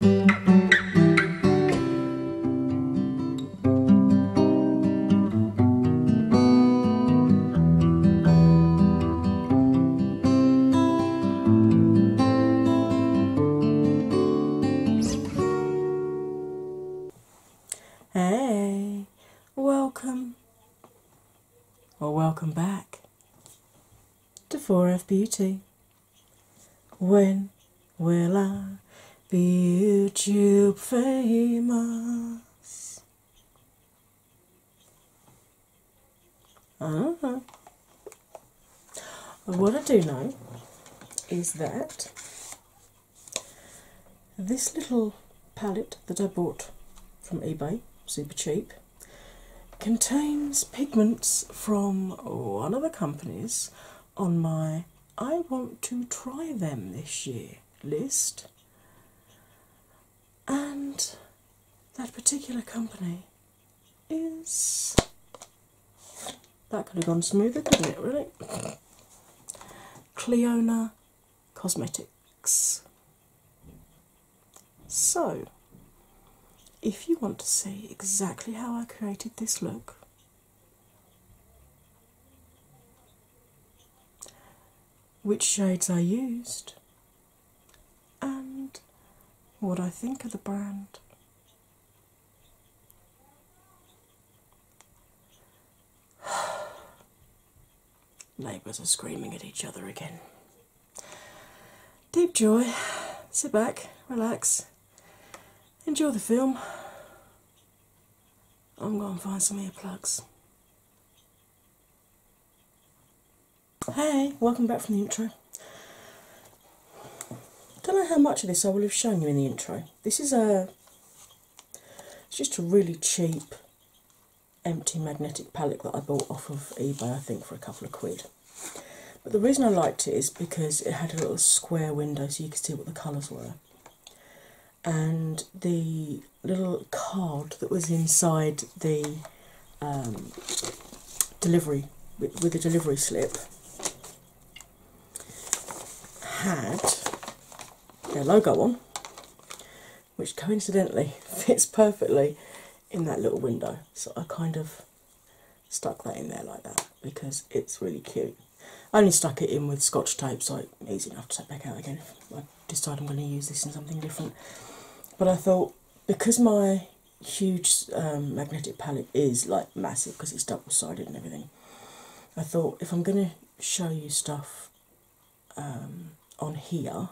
Hey, welcome or welcome back to 4F Beauty. When will I be YouTube famous? I uh-huh. do what I do know is that this little palette that I bought from eBay, super cheap, contains pigments from one of the companies on my I want to try them this year list. And that particular company is. That could have gone smoother, couldn't it, really? Cleona Cosmetics. So, if you want to see exactly how I created this look, which shades I used, and what I think of the brand. Neighbours are screaming at each other again. Deep joy. Sit back, relax, enjoy the film. I'm going to find some earplugs. Hey, welcome back from the intro. Don't know how much of this I will have shown you in the intro. This is a it's just a really cheap empty magnetic pallet that I bought off of eBay I think for a couple of quid. But the reason I liked it is because it had a little square window so you could see what the colours were. And the little card that was inside the um, delivery with the delivery slip had their logo on, which coincidentally fits perfectly in that little window. So I kind of stuck that in there like that because it's really cute. I only stuck it in with scotch tape so it's easy enough to take back out again I decided I'm going to use this in something different. But I thought because my huge um, magnetic palette is like massive because it's double sided and everything, I thought if I'm going to show you stuff um, on here,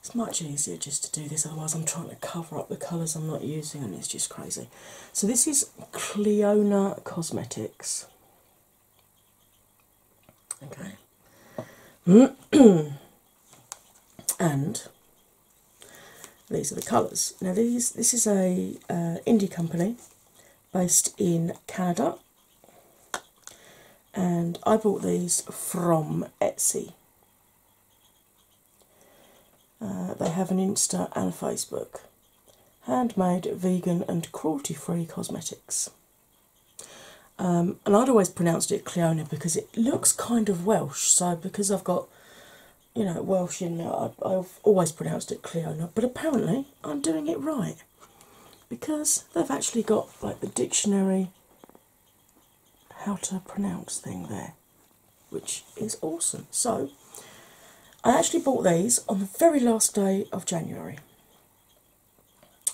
it's much easier just to do this otherwise I'm trying to cover up the colours I'm not using and it's just crazy. So, this is Cleona Cosmetics. Okay. and these are the colours. Now, these this is a uh, indie company based in Canada, and I bought these from Etsy. Uh, they have an Insta and a Facebook. Handmade, vegan, and cruelty free cosmetics. Um, and I'd always pronounced it Cleona because it looks kind of Welsh, so because I've got you know Welsh in there, I've always pronounced it Cleona, but apparently I'm doing it right because they've actually got like the dictionary how to pronounce thing there which is awesome. So, I actually bought these on the very last day of January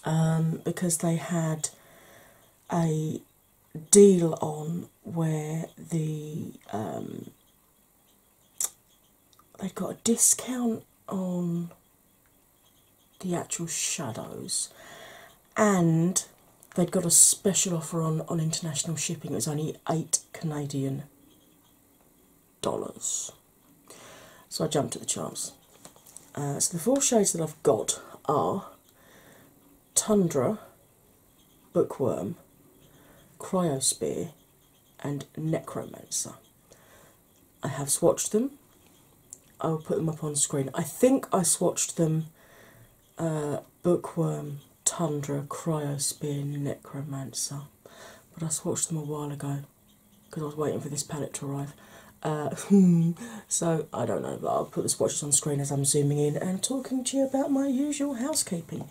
um, because they had a deal on where the um, they got a discount on the actual shadows and they'd got a special offer on on international shipping. It was only eight Canadian dollars. So I jumped at the chance. Uh, so the four shades that I've got are Tundra, Bookworm, Cryosphere, and Necromancer. I have swatched them. I'll put them up on screen. I think I swatched them uh, bookworm, Tundra, Cryosphere, Necromancer. But I swatched them a while ago because I was waiting for this palette to arrive. Uh, so I don't know, but I'll put the swatches on screen as I'm zooming in and talking to you about my usual housekeeping.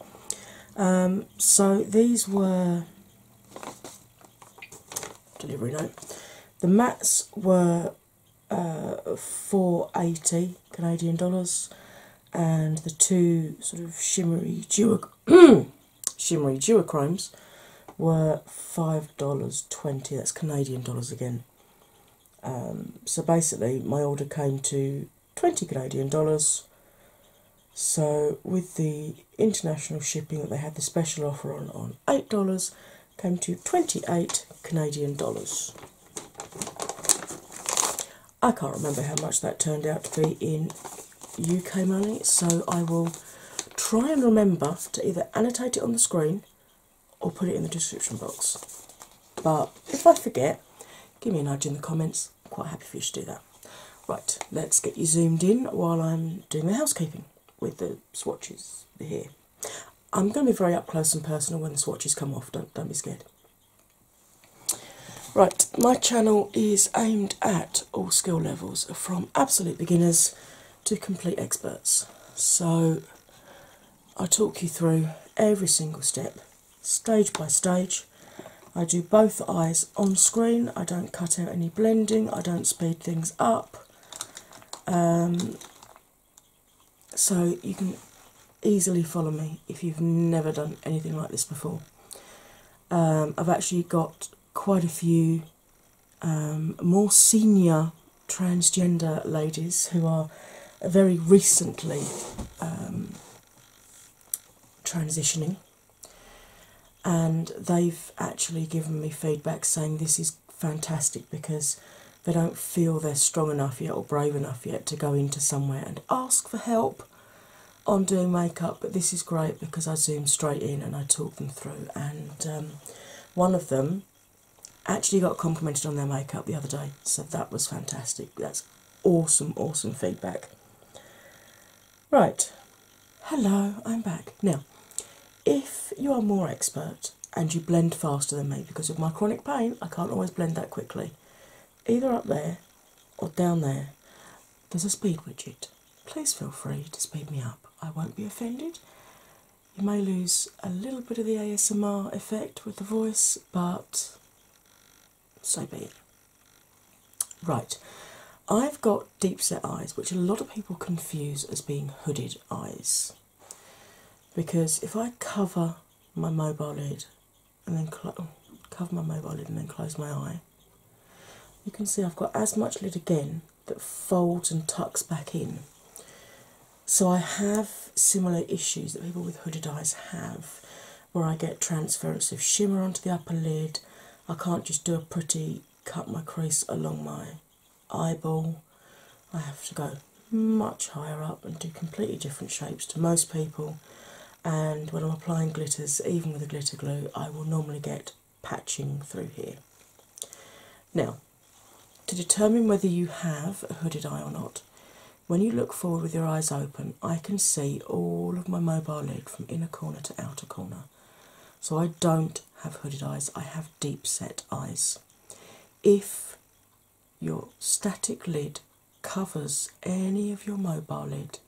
Um, so these were delivery note. The mats were uh, 480 Canadian dollars and the two sort of shimmery duoc shimmery crimes were five dollars twenty. That's Canadian dollars again. Um, so basically, my order came to twenty Canadian dollars. So with the international shipping that they had the special offer on on eight dollars, came to twenty eight Canadian dollars. I can't remember how much that turned out to be in UK money, so I will try and remember to either annotate it on the screen or put it in the description box. But if I forget, give me an urge in the comments. quite happy if you to do that. Right, let's get you zoomed in while I'm doing the housekeeping with the swatches here. I'm going to be very up close and personal when the swatches come off, don't, don't be scared. Right, my channel is aimed at all skill levels from absolute beginners to complete experts. So I talk you through every single step, stage by stage. I do both eyes on screen, I don't cut out any blending, I don't speed things up. Um, so you can easily follow me if you've never done anything like this before. Um, I've actually got quite a few um, more senior transgender ladies who are very recently um, transitioning, and they've actually given me feedback saying this is fantastic because they don't feel they're strong enough yet or brave enough yet to go into somewhere ask for help on doing makeup, but this is great because I zoom straight in and I talk them through. And um, one of them actually got complimented on their makeup the other day, so that was fantastic. That's awesome, awesome feedback. Right, hello, I'm back. Now, if you are more expert and you blend faster than me because of my chronic pain, I can't always blend that quickly either up there or down there, there's a speed widget. Please feel free to speed me up. I won't be offended. You may lose a little bit of the ASMR effect with the voice, but so be it. Right, I've got deep set eyes, which a lot of people confuse as being hooded eyes. Because if I cover my mobile lid and then oh, cover my mobile lid and then close my eye. You can see I've got as much lid again that folds and tucks back in. So I have similar issues that people with hooded eyes have, where I get transference of shimmer onto the upper lid. I can't just do a pretty cut my crease along my eyeball. I have to go much higher up and do completely different shapes to most people and when I'm applying glitters, even with a glitter glue, I will normally get patching through here. Now, to determine whether you have a hooded eye or not, when you look forward with your eyes open, I can see all of my mobile lid from inner corner to outer corner. So I don't have hooded eyes, I have deep set eyes. If your static lid covers any of your mobile lid.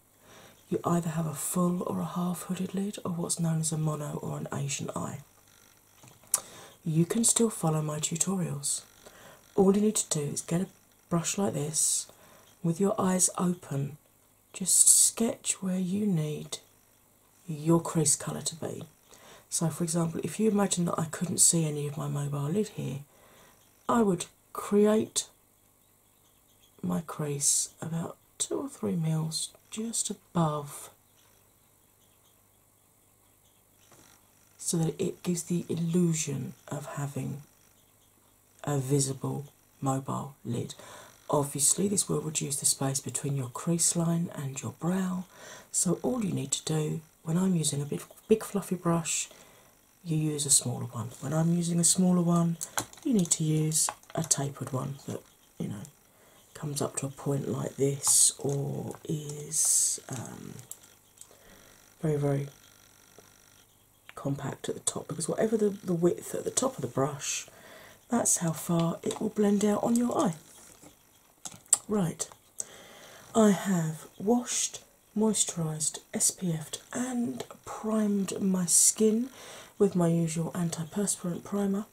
You either have a full or a half hooded lid, or what's known as a mono or an Asian eye. You can still follow my tutorials. All you need to do is get a brush like this with your eyes open, just sketch where you need your crease colour to be. So, for example, if you imagine that I couldn't see any of my mobile lid here, I would create my crease about two or three mils just above so that it gives the illusion of having a visible mobile lid. Obviously, this will reduce the space between your crease line and your brow, so all you need to do when I'm using a big, big fluffy brush, you use a smaller one. When I'm using a smaller one, you need to use a tapered one that you know comes up to a point like this or is um, very, very compact at the top because whatever the, the width at the top of the brush, that's how far it will blend out on your eye. Right, I have washed moisturised, SPF'd, and primed my skin with my usual antiperspirant primer.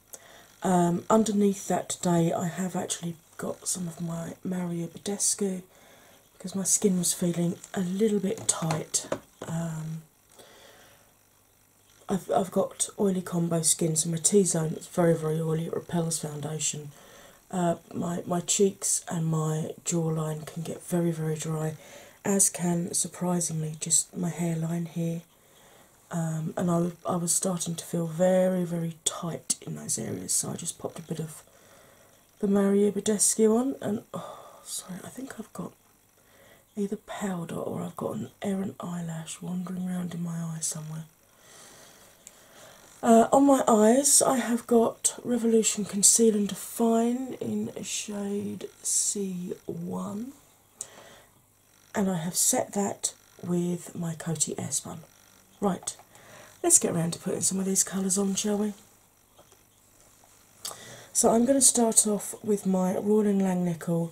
Um, underneath that today, I have actually got some of my Mario Badescu because my skin was feeling a little bit tight. Um, I've, I've got oily combo skin, so my T zone is very, very oily. It repels foundation, uh, my my cheeks and my jawline can get very very dry, as can surprisingly just my hairline here. Um, and I I was starting to feel very very tight in those areas, so I just popped a bit of the Mario Badescu on. And oh, sorry, I think I've got either powder or I've got an errant eyelash wandering around in my eye somewhere. Uh, on my eyes, I have got Revolution Conceal and Define in shade C1, and I have set that with my Coty Airspun. Right, let's get around to putting some of these colours on, shall we? So I'm going to start off with my Royal Langnickel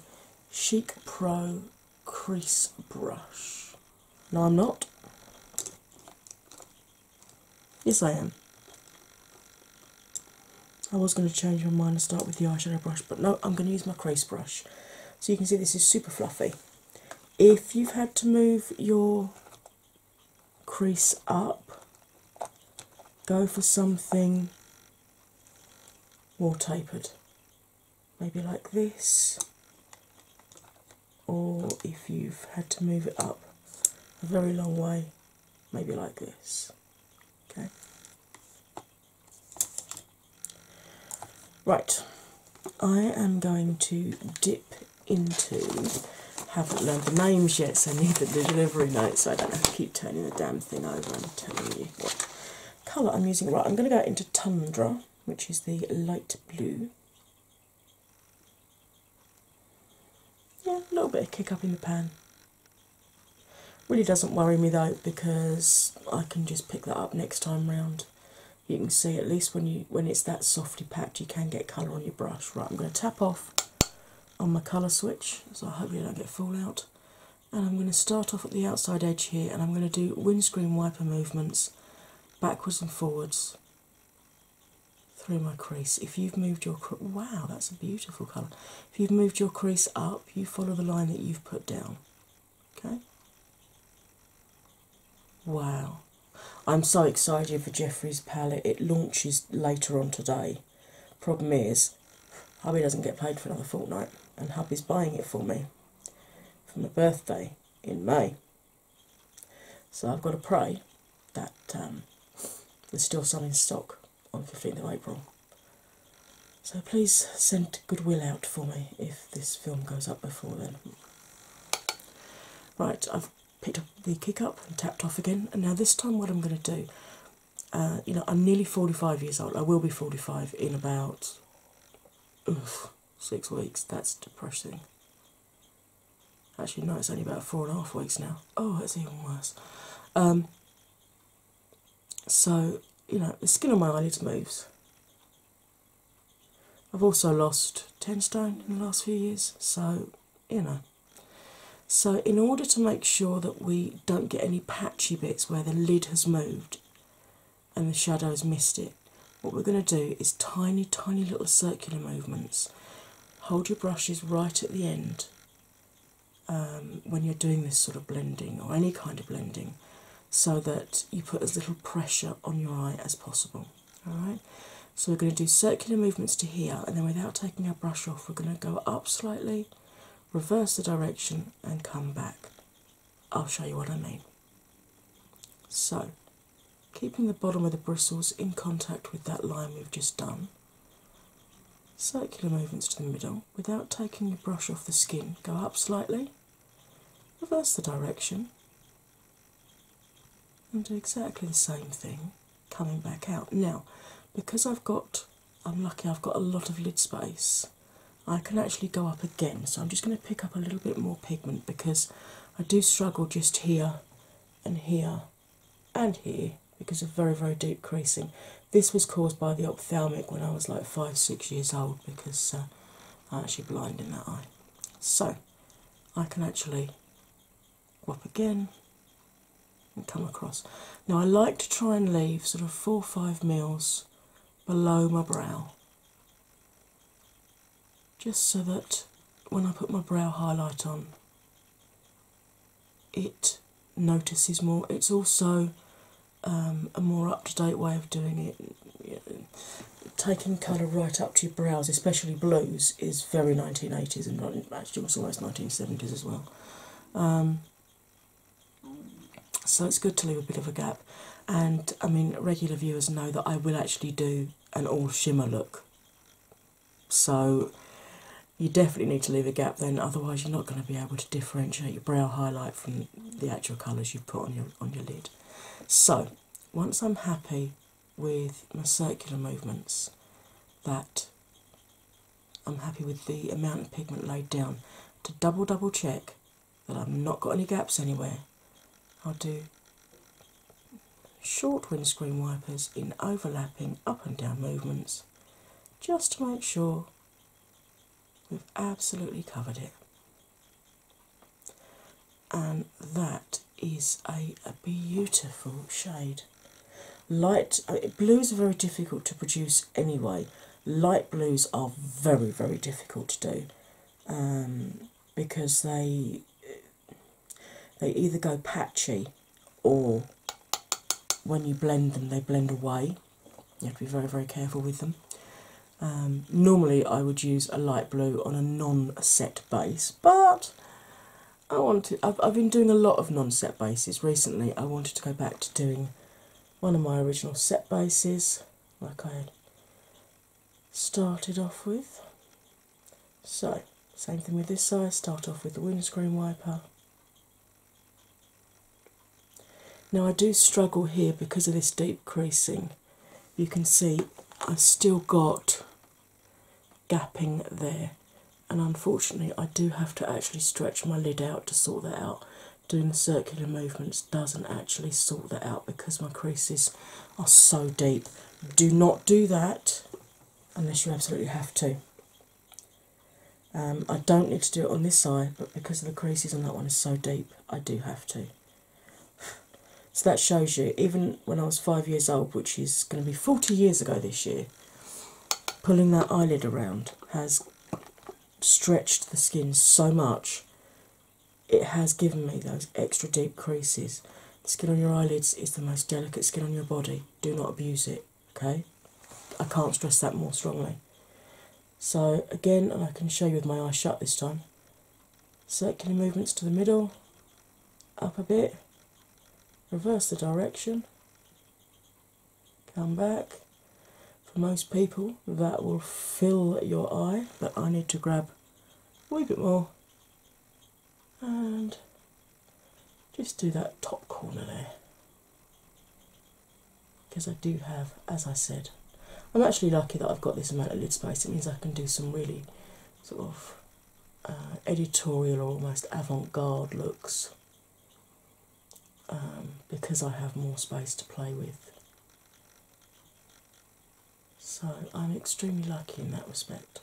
Chic Pro Crease Brush. No, I'm not. Yes, I am. I was going to change my mind and start with the eyeshadow brush, but no, I'm going to use my crease brush. So you can see this is super fluffy. If you've had to move your crease up, go for something more tapered. Maybe like this, or if you've had to move it up a very long way, maybe like this. Okay. Right, I am going to dip into. Haven't learned the names yet, so neither the delivery notes. So I don't have to keep turning the damn thing over I'm telling you what colour I'm using. Right, I'm going to go into Tundra, which is the light blue yeah, a little bit of kick up in the pen. Really doesn't worry me though because I can just pick that up next time round. You can see at least when you when it's that softly packed you can get colour on your brush. Right, I'm going to tap off on my colour switch so I hope you don't get fallout. And I'm going to start off at the outside edge here and I'm going to do windscreen wiper movements backwards and forwards through my crease. If you've moved your wow, that's a beautiful colour. If you've moved your crease up, you follow the line that you've put down. Okay. Wow. I'm so excited for Jeffrey's palette. It launches later on today. Problem is, hubby doesn't get paid for another fortnight, and hubby's buying it for me for my birthday in May. So I've got to pray that there's um, still some in stock on 15th of April. So please send goodwill out for me if this film goes up before then. Right, I've picked up the kick up and tapped off again, and now this time what I'm going to do. Uh, you know, I'm nearly 45 years old. I will be 45 in about six weeks. That's depressing. Actually, no, it's only about four and a half weeks now. Oh, it's even worse. Um, so, you know, the skin on my eyelids moves. I've also lost 10 stone in the last few years, so, you know. So, in order to make sure that we don't get any patchy bits where the lid has moved and the shadow's missed it, what we're going to do is tiny, tiny little circular movements. Hold your brushes right at the end um, when you're doing this sort of blending or any kind of blending so that you put as little pressure on your eye as possible. Alright, so we're going to do circular movements to here and then without taking our brush off, we're going to go up slightly, reverse the direction, and come back. I'll show you what I mean. So, keeping the bottom of the bristles in contact with that line we've just done. Circular movements to the middle without taking your brush off the skin. Go up slightly, reverse the direction, and do exactly the same thing coming back out. Now, because I've got, I'm lucky I've got a lot of lid space, I can actually go up again. So I'm just going to pick up a little bit more pigment because I do struggle just here and here and here because of very, very deep creasing. This was caused by the ophthalmic when I was like five, six years old because uh, I'm actually blind in that eye. So I can actually go up again and come across. Now I like to try and leave sort of four or five mils below my brow just so that when I put my brow highlight on, it notices more. It's also um, a more up to date way of doing it. Taking colour right up to your brows, especially blues, is very 1980s and actually almost 1970s as well. Um, so it's good to leave a bit of a gap. And I mean, regular viewers know that I will actually do an all shimmer look so you definitely need to leave a gap then, otherwise you're not going to be able to differentiate your brow highlight from the actual colours you you've put on your on your lid. So once I'm happy with my circular movements, that I'm happy with the amount of pigment laid down to double double check that I've not got any gaps anywhere I'll do short windscreen wipers in overlapping up and down movements just to make sure we've absolutely covered it. And that is a, beautiful shade. Light blues are very difficult to produce anyway. Light blues are very, very difficult to do um, because they they either go patchy or when you blend them, they blend away. You have to be very, very careful with them. Um, normally, I would use a light blue on a non-set base, but I wanted. I've been doing a lot of non-set bases recently. I wanted to go back to doing one of my original set bases, like I started off with. So, same thing with this side, start off with the windscreen wiper. Now, I do struggle here because of this deep creasing. You can see I've still got gapping there, and unfortunately, I do have to actually stretch my lid out to sort that out. Doing the circular movements doesn't actually sort that out because my creases are so deep. Do not do that unless you absolutely have to. Um, I don't need to do it on this side, but because the creases on that one is so deep, I do have to. so that shows you, even when I was five years old, which is going to be 40 years ago this year, pulling that eyelid around has stretched the skin so much, it has given me those extra deep creases. The skin on your eyelids is the most delicate skin on your body. Do not abuse it, okay? I can't stress that more strongly. So, again, and I can show you with my eyes shut this time circular movements to the middle, up a bit, reverse the direction, come back. For most people, that will fill your eye, but I need to grab a wee bit more and just do that top corner there because I do have, as I said, I'm actually lucky that I've got this amount of lid space. It means I can do some really sort of uh, editorial or almost avant garde looks um, because I have more space to play with. So I'm extremely lucky in that respect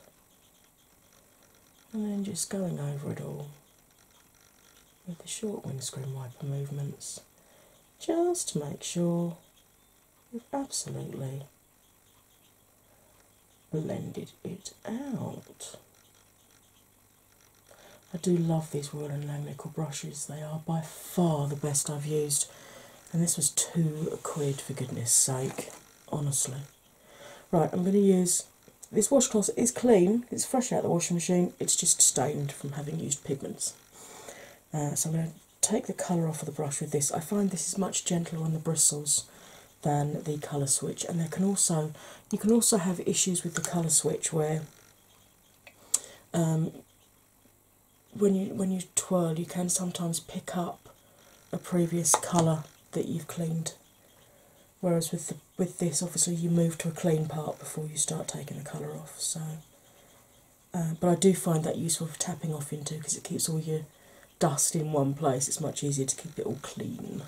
and then just going over it all with the short windscreen wiper movements just to make sure you have absolutely blended it out. I do love these Royal and Lang brushes, they are by far the best I've used, and this was two quid for goodness sake, honestly. Right, I'm going to use this washcloth. It's clean, it's fresh out of the washing machine, it's just stained from having used pigments. Uh, so I'm going to take the colour off of the brush with this. I find this is much gentler on the bristles than the colour switch, and there can also you can also have issues with the colour switch where um, when you when you twirl, you can sometimes pick up a previous colour that you've cleaned. Whereas with with this, obviously, you move to a clean part before you start taking the colour off. So, uh, but I do find that useful for tapping off into because it keeps all your dust in one place. It's much easier to keep it all clean.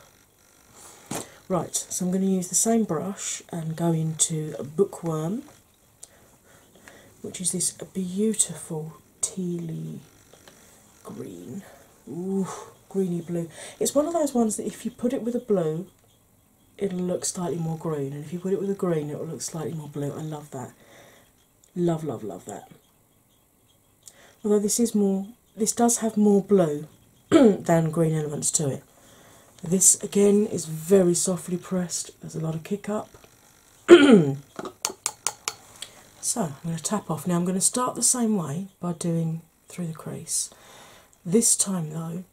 Right, so I'm going to use the same brush and go into a bookworm, which is this beautiful tealy green. Ooh, greeny blue. It's one of those ones that if you put it with a blue, it'll look slightly more green, and if you put it with a green, it'll look slightly more blue. I love that. Love, love, love that. Although this is more, this does have more blue than green elements to it. This again is very softly pressed, there's a lot of kick up. so I'm going to tap off. Now I'm going to start the same way by doing through the crease. This time though,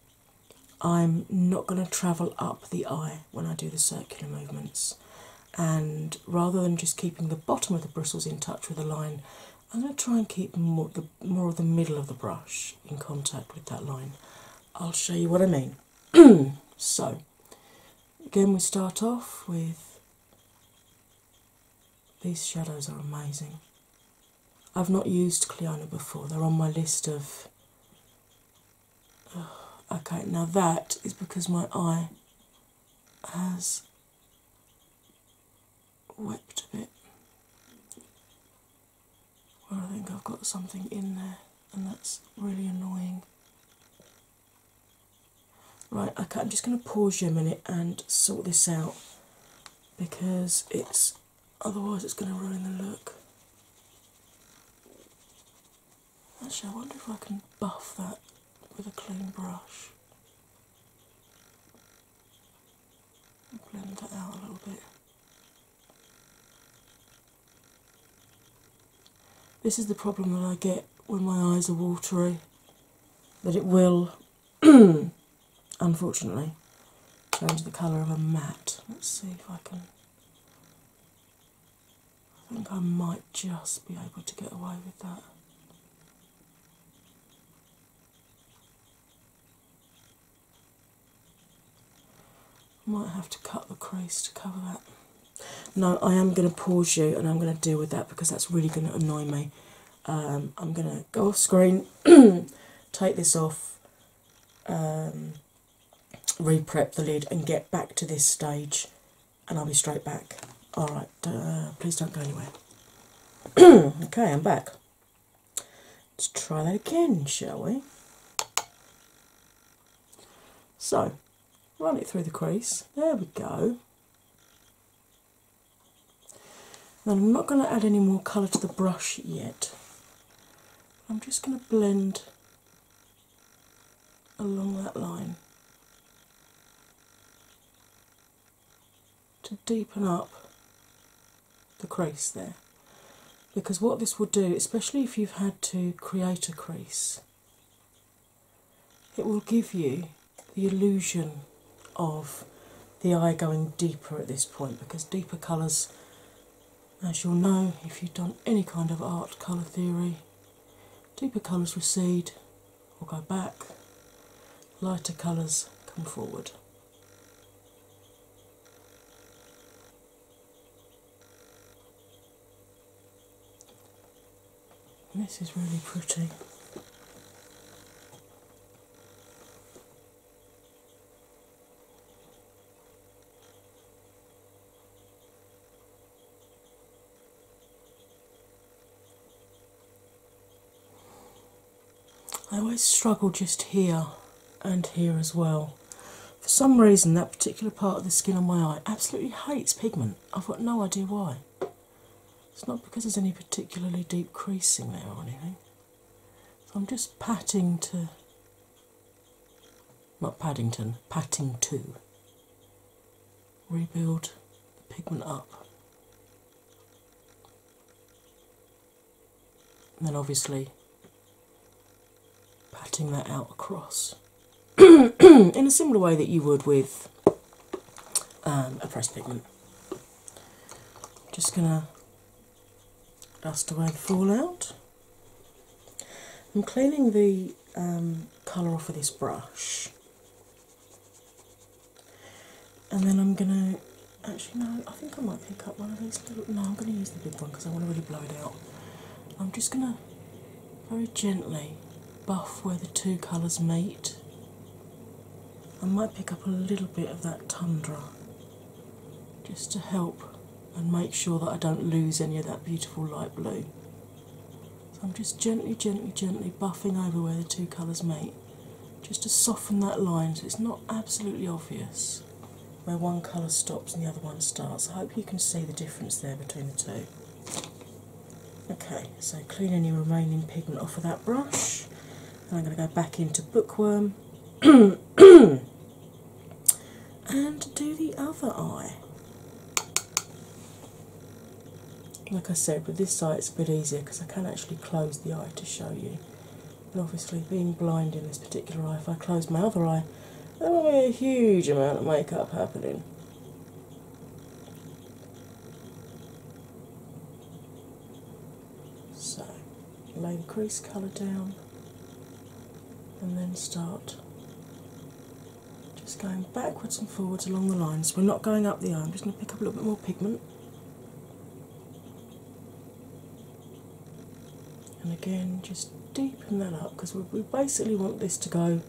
I'm not going to travel up the eye when I do the circular movements. And rather than just keeping the bottom of the bristles in touch with the line, I'm going to try and keep more, of the middle of the brush in contact with that line. I'll show you what I mean. so, again, we start off with these shadows are amazing. I've not used Cleona before, they're on my list of. okay, now that is because my eye has wept a bit. Well, I think I've got something in there, and that's really annoying. Right, I'm just going to pause you a minute and sort this out because it's otherwise it's going to ruin the look. Actually, I wonder if I can buff that with a clean brush. Blend that out a little bit. This is the problem that I get when my eyes are watery, that it will, unfortunately, turn to the colour of a mat. Let's see if I can. I think I might just be able to get away with that. Might have to cut the crease to cover that. No, I am going to pause you and I'm going to deal with that because that's really going to annoy me. Um, I'm going to go off screen, take this off, um, re prep the lid, and get back to this stage, and I'll be straight back. Alright, uh, please don't go anywhere. okay, I'm back. Let's try that again, shall we? So, run it through the crease. There we go. Now I'm not going to add any more colour to the brush yet. I'm just going to blend along that line to deepen up the crease there. Because what this will do, especially if you've had to create a crease it will give you the illusion of the eye going deeper at this point because deeper colours, as you'll know if you've done any kind of art colour theory, deeper colours recede or go back, lighter colours come forward. This is really pretty. I always struggle just here and here as well. For some reason, that particular part of the skin on my eye absolutely hates pigment. I've got no idea why. It's not because there's any particularly deep creasing there or anything. I'm just patting to, not Paddington, patting to rebuild the pigment up. And then obviously patting that out across in a similar way that you would with um, a pressed pigment. Just gonna dust away the fallout. I'm cleaning the um, colour off of this brush, and then I'm gonna. Actually, no, I think I might pick up one of these little. No, I'm gonna use the big one because I want to really blow it out. I'm just gonna very gently buff where the two colours meet. I might pick up a little bit of that tundra just to help and make sure that I don't lose any of that beautiful light blue. So I'm just gently, gently, gently buffing over where the two colours meet just to soften that line so it's not absolutely obvious where one colour stops and the other one starts. I hope you can see the difference there between the two. Okay, so clean any remaining pigment off of that brush. Then I'm going to go back into Bookworm and do the other eye. Like I said, with this side it's a bit easier because I can actually close the eye to show you. But obviously, being blind in this particular eye, if I close my other eye, there will be a huge amount of makeup happening. So lay the crease colour down and then start just going backwards and forwards along the lines. We're not going up the eye, just going to pick up a little bit more pigment. And again, just deepen that up because we basically want this to go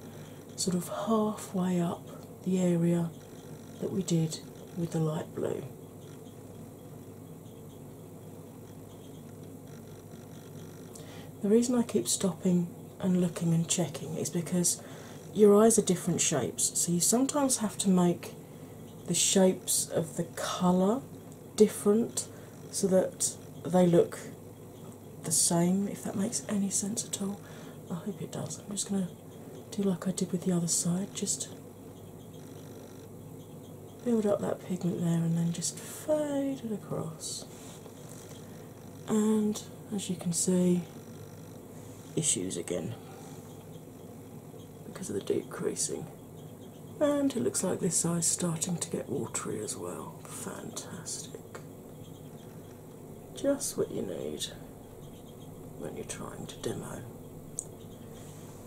sort of halfway up the area that we did with the light blue. The reason I keep stopping and looking and checking is because your eyes are different shapes, so you sometimes have to make the shapes of the colour different so that they look the same, if that makes any sense at all. I hope it does. I'm just going to do like I did with the other side, just build up that pigment there and then just fade it across. And as you can see, issues again because of the decreasing. And it looks like this eye's starting to get watery as well. Fantastic just what you need when you're trying to demo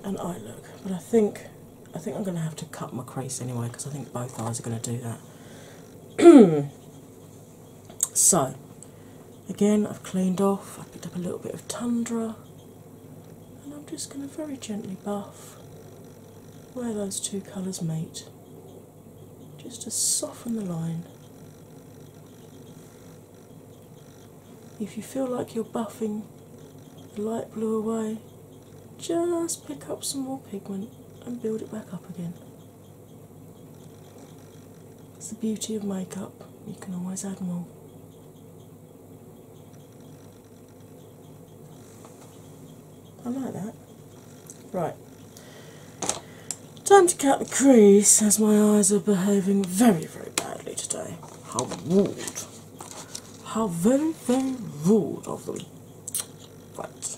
an eye look. But I think I think I'm going to have to cut my crease anyway because I think both eyes are going to do that. so again, I've cleaned off. I picked up a little bit of tundra, and I'm just going to very gently buff where those two colours meet just to soften the line. If you feel like you're buffing the light blue away, just pick up some more pigment and build it back up again. It's the beauty of makeup, you can always add more. I like that right. Time to cut the crease as my eyes are behaving very, very badly today. How rude. How very, very rude of them. Right.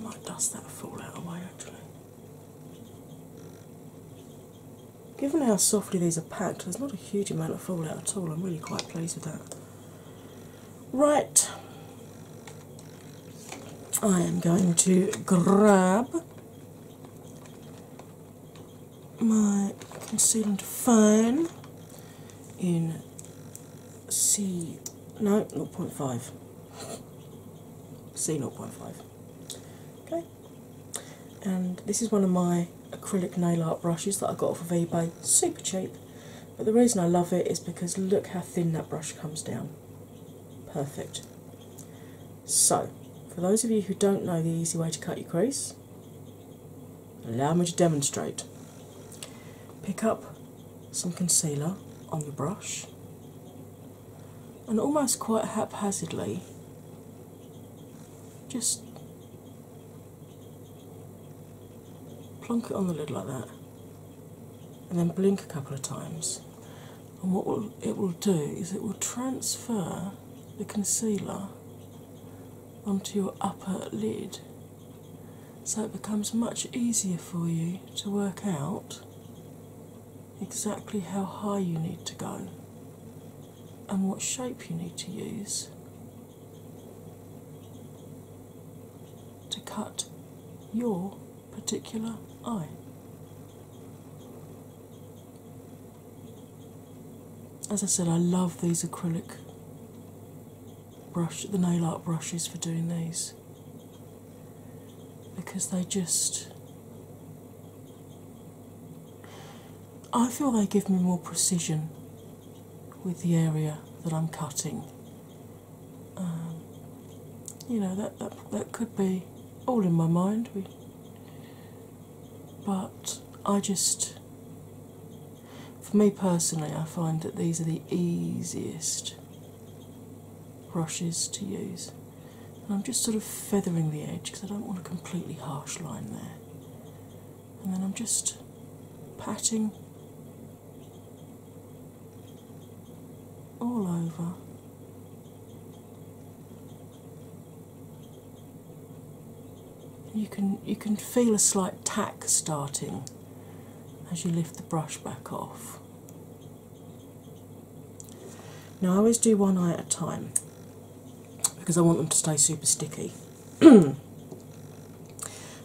Might dust that fall fallout away actually. Given how softly these are packed, there's not a huge amount of fallout at all. I'm really quite pleased with that. Right, I am going to grab my concealer foam in C no not 0.5 C not 0.5 okay and this is one of my acrylic nail art brushes that I got off of eBay super cheap but the reason I love it is because look how thin that brush comes down Perfect. So, for those of you who don't know the easy way to cut your crease, allow me to demonstrate. Pick up some concealer on the brush and almost quite haphazardly just plonk it on the lid like that and then blink a couple of times. And what it will do is it will transfer the concealer onto your upper lid so it becomes much easier for you to work out exactly how high you need to go and what shape you need to use to cut your particular eye. As I said, I love these acrylic brush, the nail art brushes for doing these because they just. I feel they give me more precision with the area that I'm cutting um, you know that, that that could be all in my mind. but I just, for me personally, I find that these are the easiest brushes to use. And I'm just sort of feathering the edge because I don't want a completely harsh line there. And then I'm just patting all over. You can you can feel a slight tack starting as you lift the brush back off. Now I always do one eye at a time because I want them to stay super sticky. and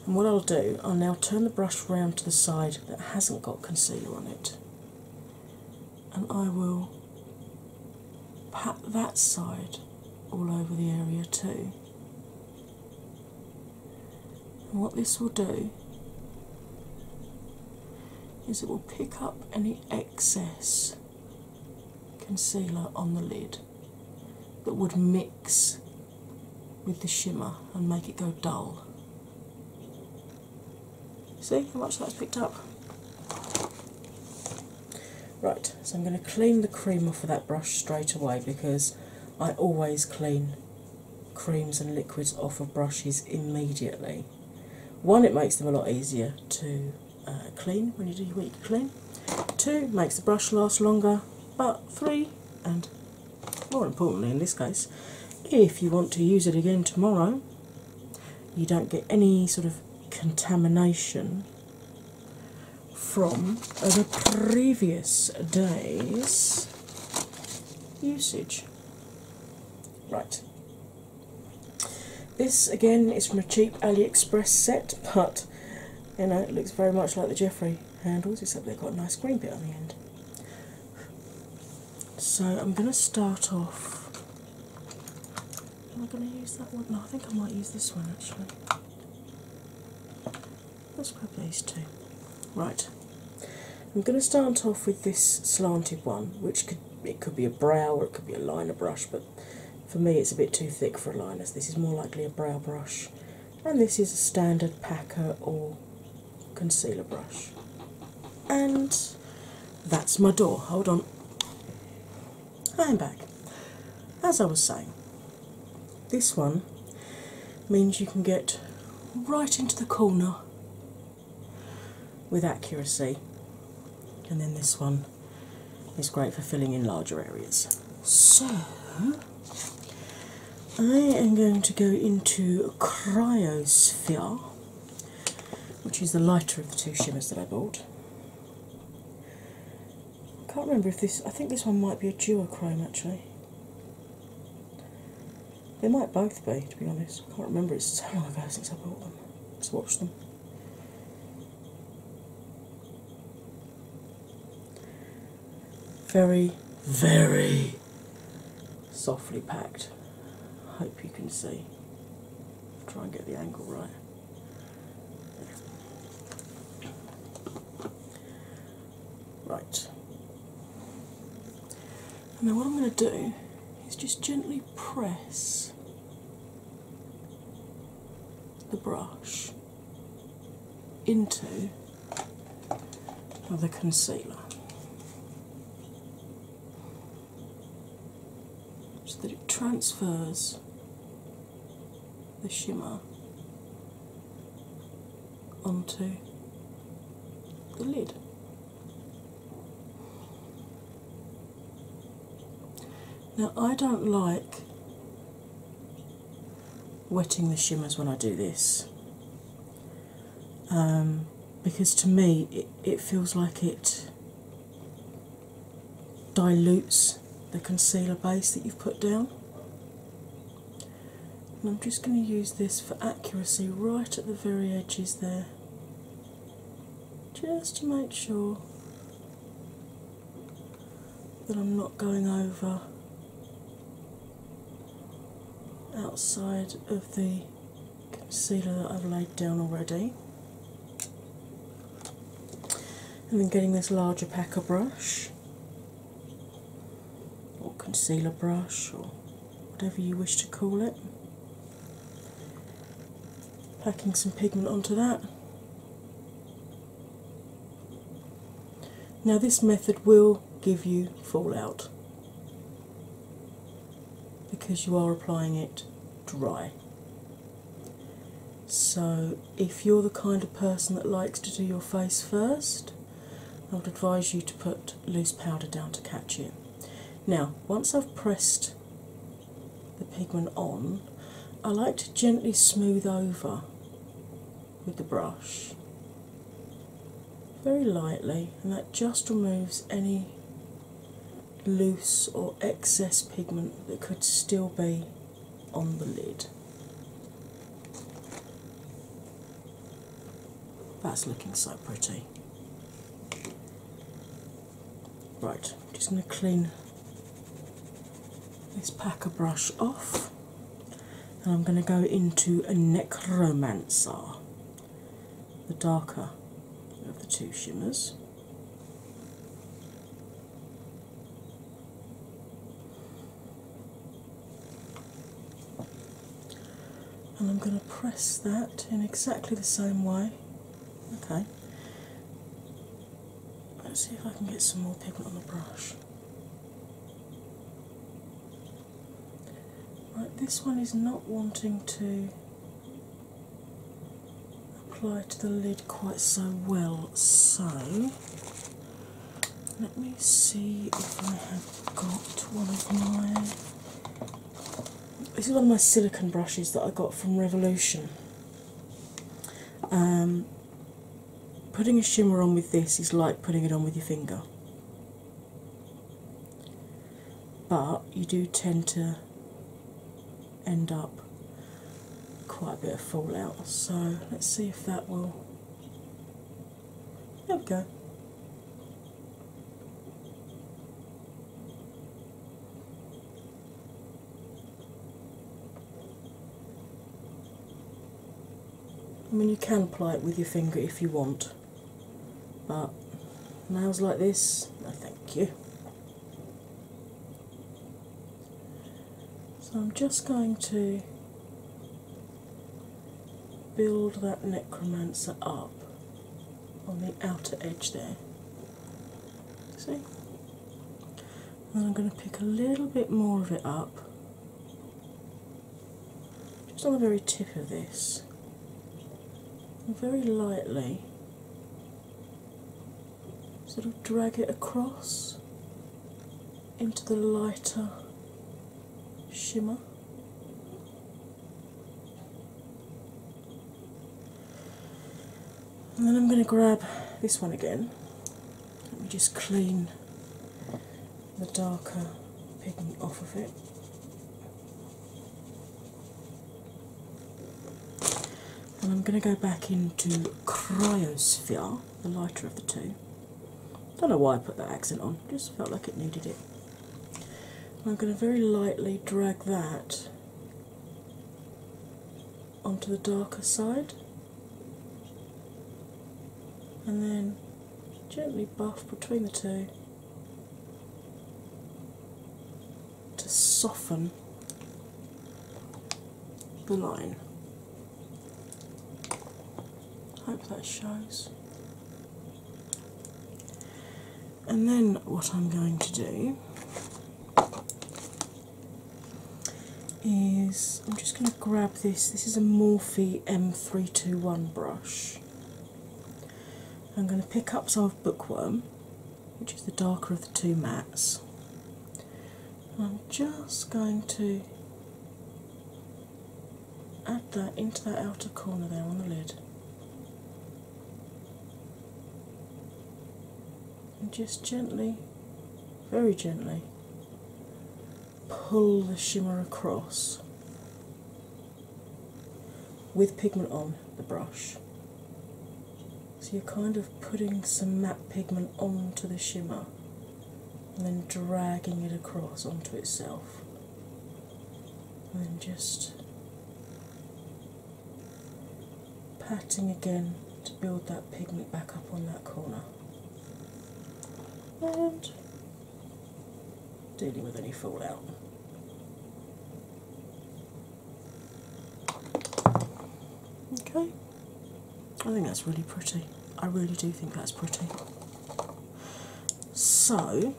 what I'll do, I'll now turn the brush round to the side that hasn't got concealer on it and I will pat that side all over the area too. what this will do is it will pick up any excess concealer on the lid that would mix with the shimmer and make it go dull. See how much that's picked up? Right, so I'm going to clean the cream off of that brush straight away because I always clean creams and liquids off of brushes immediately. One, it makes them a lot easier to uh, clean when you do your weekly clean. Two, makes the brush last longer. But three, and more importantly in this case, if you want to use it again tomorrow, you don't get any sort of contamination from the previous day's usage. Right. This again is from a cheap AliExpress set, but you know it looks very much like the Jeffrey handles, except they've got a nice green bit on the end. So I'm going to start off. Am I going to use that one? No, I think I might use this one actually. Let's grab these two. Right. I'm going to start off with this slanted one, which could it could be a brow or it could be a liner brush, but for me it's a bit too thick for a liner. this is more likely a brow brush, and this is a standard packer or concealer brush. And that's my door. Hold on. I'm back. As I was saying, this one means you can get right into the corner with accuracy, and then this one is great for filling in larger areas. So, I am going to go into Cryosphere, which is the lighter of the two shimmers that I bought. I can't remember if this, I think this one might be a chrome actually. They might both be, to be honest. I can't remember, it's so long ago since I bought them. Let's watch them. Very, very softly packed. Hope you can see. Try and get the angle right. Right. And then what I'm going to do is just gently press the brush into of the concealer so that it transfers the shimmer onto the lid. Now, I don't like wetting the shimmers when I do this um, because to me it, it feels like it dilutes the concealer base that you've put down. I'm just going to use this for accuracy right at the very edges there, just to make sure that I'm not going over outside of the concealer that I've laid down already, and then getting this larger packer brush or concealer brush or whatever you wish to call it, packing some pigment onto that. Now, this method will give you fallout because you are applying it dry. So, if you're the kind of person that likes to do your face first, I would advise you to put loose powder down to catch it. Now, once I've pressed the pigment on, I like to gently smooth over with the brush very lightly, and that just removes any loose or excess pigment that could still be on the lid. That's looking so pretty. Right, just going to clean this packer brush off and I'm going to go into a necromancer the darker of the two shimmers. And I'm going to press that in exactly the same way. Okay. Let's see if I can get some more pigment on the brush this one is not wanting to apply to the lid quite so well, so let me see if I have got one of my. This is one of my silicone brushes that I got from Revolution. Um, putting a shimmer on with this is like putting it on with your finger but you do tend to end up quite a bit of fallout. So let's see if that will. There we go. I mean, you can apply it with your finger if you want, but nails like this, no thank you. So I'm just going to build that necromancer up on the outer edge there. See? And I'm going to pick a little bit more of it up just on the very tip of this, very lightly sort of drag it across into the lighter shimmer. And then I'm going to grab this one again. Let me just clean the darker pigment off of it. And I'm going to go back into Cryosphere, the lighter of the two. Don't know why I put that accent on, just felt like it needed it. I'm going to very lightly drag that onto the darker side and then gently buff between the two to soften the line. Hope that shows. And then what I'm going to do is I'm just going to grab this. This is a Morphe M321 brush. I'm going to pick up some Bookworm, which is the darker of the two mattes. I'm just going to add that into that outer corner there on the lid. And just gently, very gently, pull the shimmer across with pigment on the brush. So you're kind of putting some matte pigment onto the shimmer and then dragging it across onto itself. And then just patting again to build that pigment back up on that corner. And dealing with any fallout. Okay, I think that's really pretty. I really do think that's pretty. So,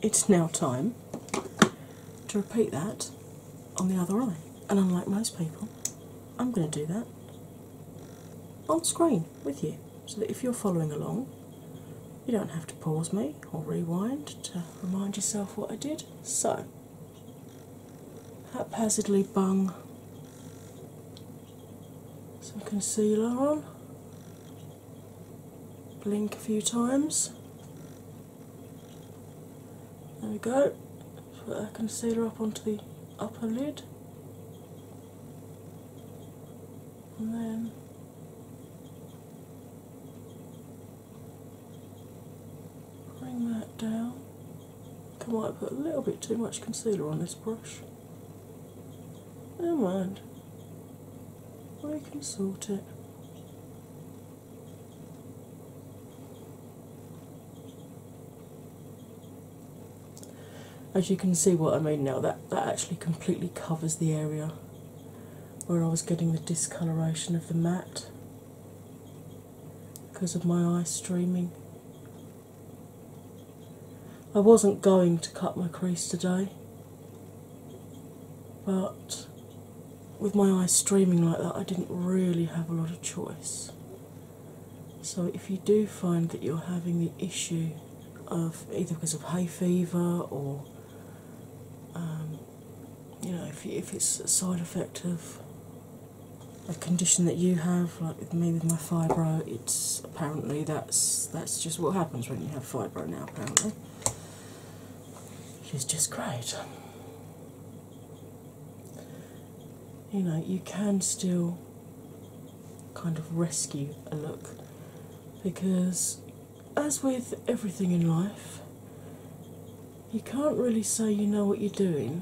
it's now time to repeat that on the other eye, and unlike most people, I'm going to do that on screen with you so that if you're following along, you don't have to pause me or rewind to remind yourself what I did. So, haphazardly bung some concealer on, blink a few times. There we go. Put our concealer up onto the upper lid and then Bring that down. I might have put a little bit too much concealer on this brush. Never mind. I can sort it as you can see what I mean now, that, that actually completely covers the area where I was getting the discoloration of the mat because of my eyes streaming. I wasn't going to cut my crease today, but with my eyes streaming like that, I didn't really have a lot of choice. So, if you do find that you're having the issue of either because of hay fever or um, you know if, if it's a side effect of a condition that you have, like me with my fibro, it's apparently that's that's just what happens when you have fibro now. Apparently, which is just great. You know, you can still kind of rescue a look because, as with everything in life, you can't really say you know what you're doing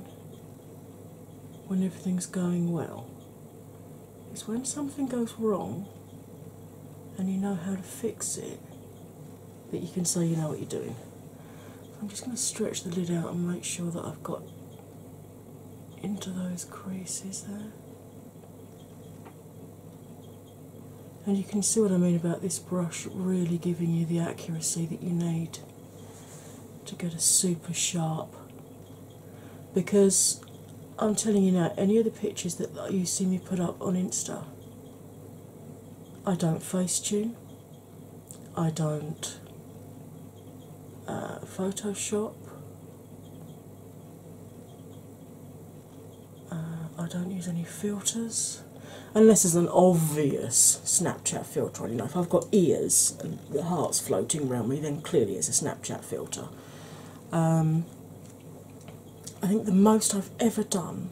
when everything's going well. It's when something goes wrong and you know how to fix it that you can say you know what you're doing. I'm just going to stretch the lid out and make sure that I've got into those creases there. And you can see what I mean about this brush really giving you the accuracy that you need to get a super sharp. Because I'm telling you now, any of the pictures that you see me put up on Insta, I don't face tune, I don't uh, Photoshop, uh, I don't use any filters unless it's an obvious Snapchat filter on. You know, if I've got ears and the heart's floating around me, then clearly it's a Snapchat filter. Um, I think the most I've ever done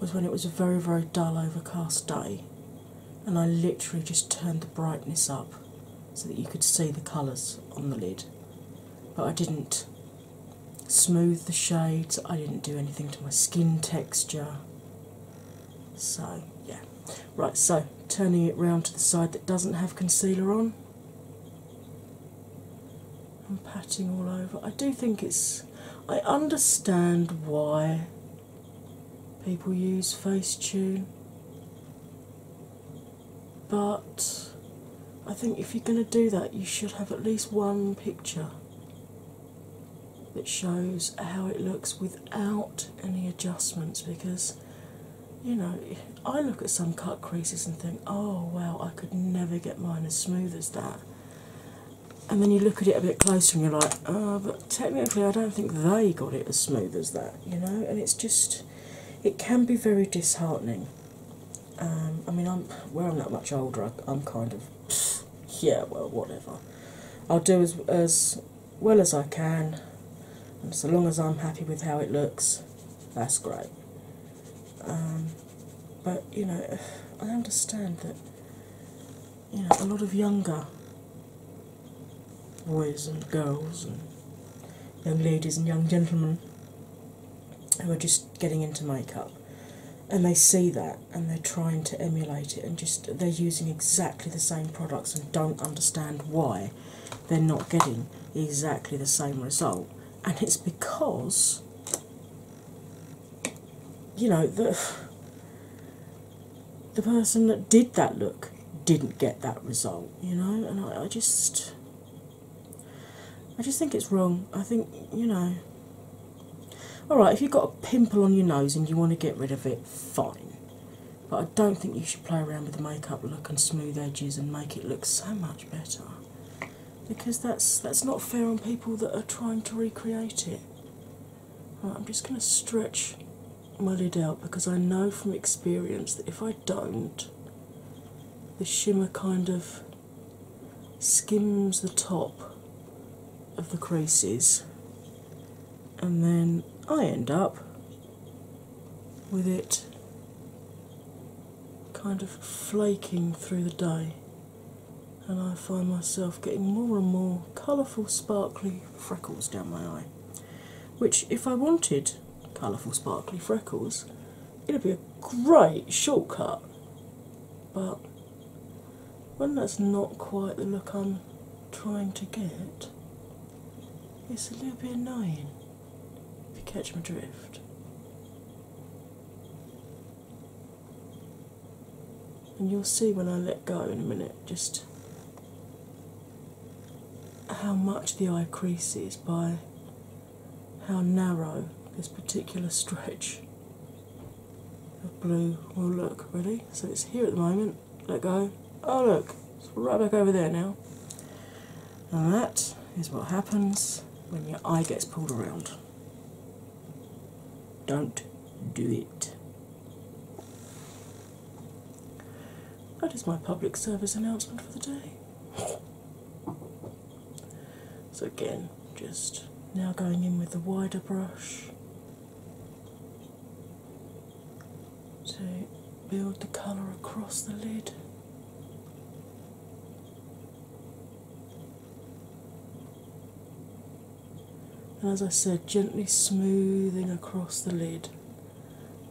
was when it was a very, very dull, overcast day, and I literally just turned the brightness up so that you could see the colours on the lid but I didn't smooth the shades, I didn't do anything to my skin texture. So, yeah. Right, so turning it round to the side that doesn't have concealer on. I'm patting all over. I do think it's. I understand why people use Facetune but I think if you're going to do that, you should have at least one picture that shows how it looks without any adjustments because you know I look at some cut creases and think, oh wow, I could never get mine as smooth as that. And then you look at it a bit closer and you're like, ah, but technically I don't think they got it as smooth as that, you know? And it's just, it can be very disheartening. Um, I mean, I'm where I'm not much older. I, am kind of yeah, well, whatever. I'll do as as well as I can, so long as I'm happy with how it looks, that's great. Um, but you know, I understand that you know a lot of younger boys and girls and young ladies and young gentlemen who are just getting into makeup and they see that and they're trying to emulate it and just they're using exactly the same products and don't understand why they're not getting exactly the same result and it's because you know the the person that did that look didn't get that result you know and I, I just I just think it's wrong. I think, you know. Alright, if you've got a pimple on your nose and you want to get rid of it, fine. But I don't think you should play around with the makeup look and smooth edges and make it look so much better. Because that's that's not fair on people that are trying to recreate it. I'm just gonna stretch my lid out because I know from experience that if I don't the shimmer kind of skims the top of the creases, and then I end up with it kind of flaking through the day. And I find myself getting more and more colourful, sparkly freckles down my eye. Which, if I wanted, colourful sparkly freckles, it'd be a great shortcut. But when that's not quite the look I'm trying to get, it's a little bit annoying if you catch my drift. And you'll see when I let go in a minute just how much the eye creases by how narrow this particular stretch of blue will look, really. So it's here at the moment, let go. Oh, look, it's right back over there now. And that is what happens when your eye gets pulled around. Don't do it. That is my public service announcement for the day. So, again, just now going in with the wider brush to build the colour across the lid. And as I said, gently smoothing across the lid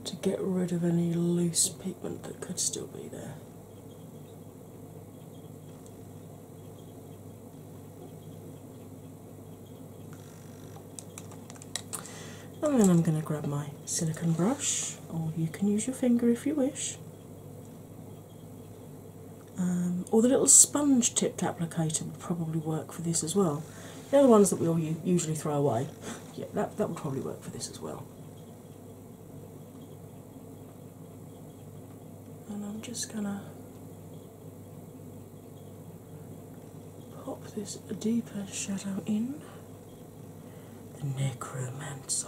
to get rid of any loose pigment that could still be there. And then I'm going to grab my silicone brush, or you can use your finger if you wish, um, or the little sponge tipped applicator would probably work for this as well. The other ones that we all usually throw away. Yeah, that, that would probably work for this as well and I'm just gonna pop this deeper shadow in the necromancer.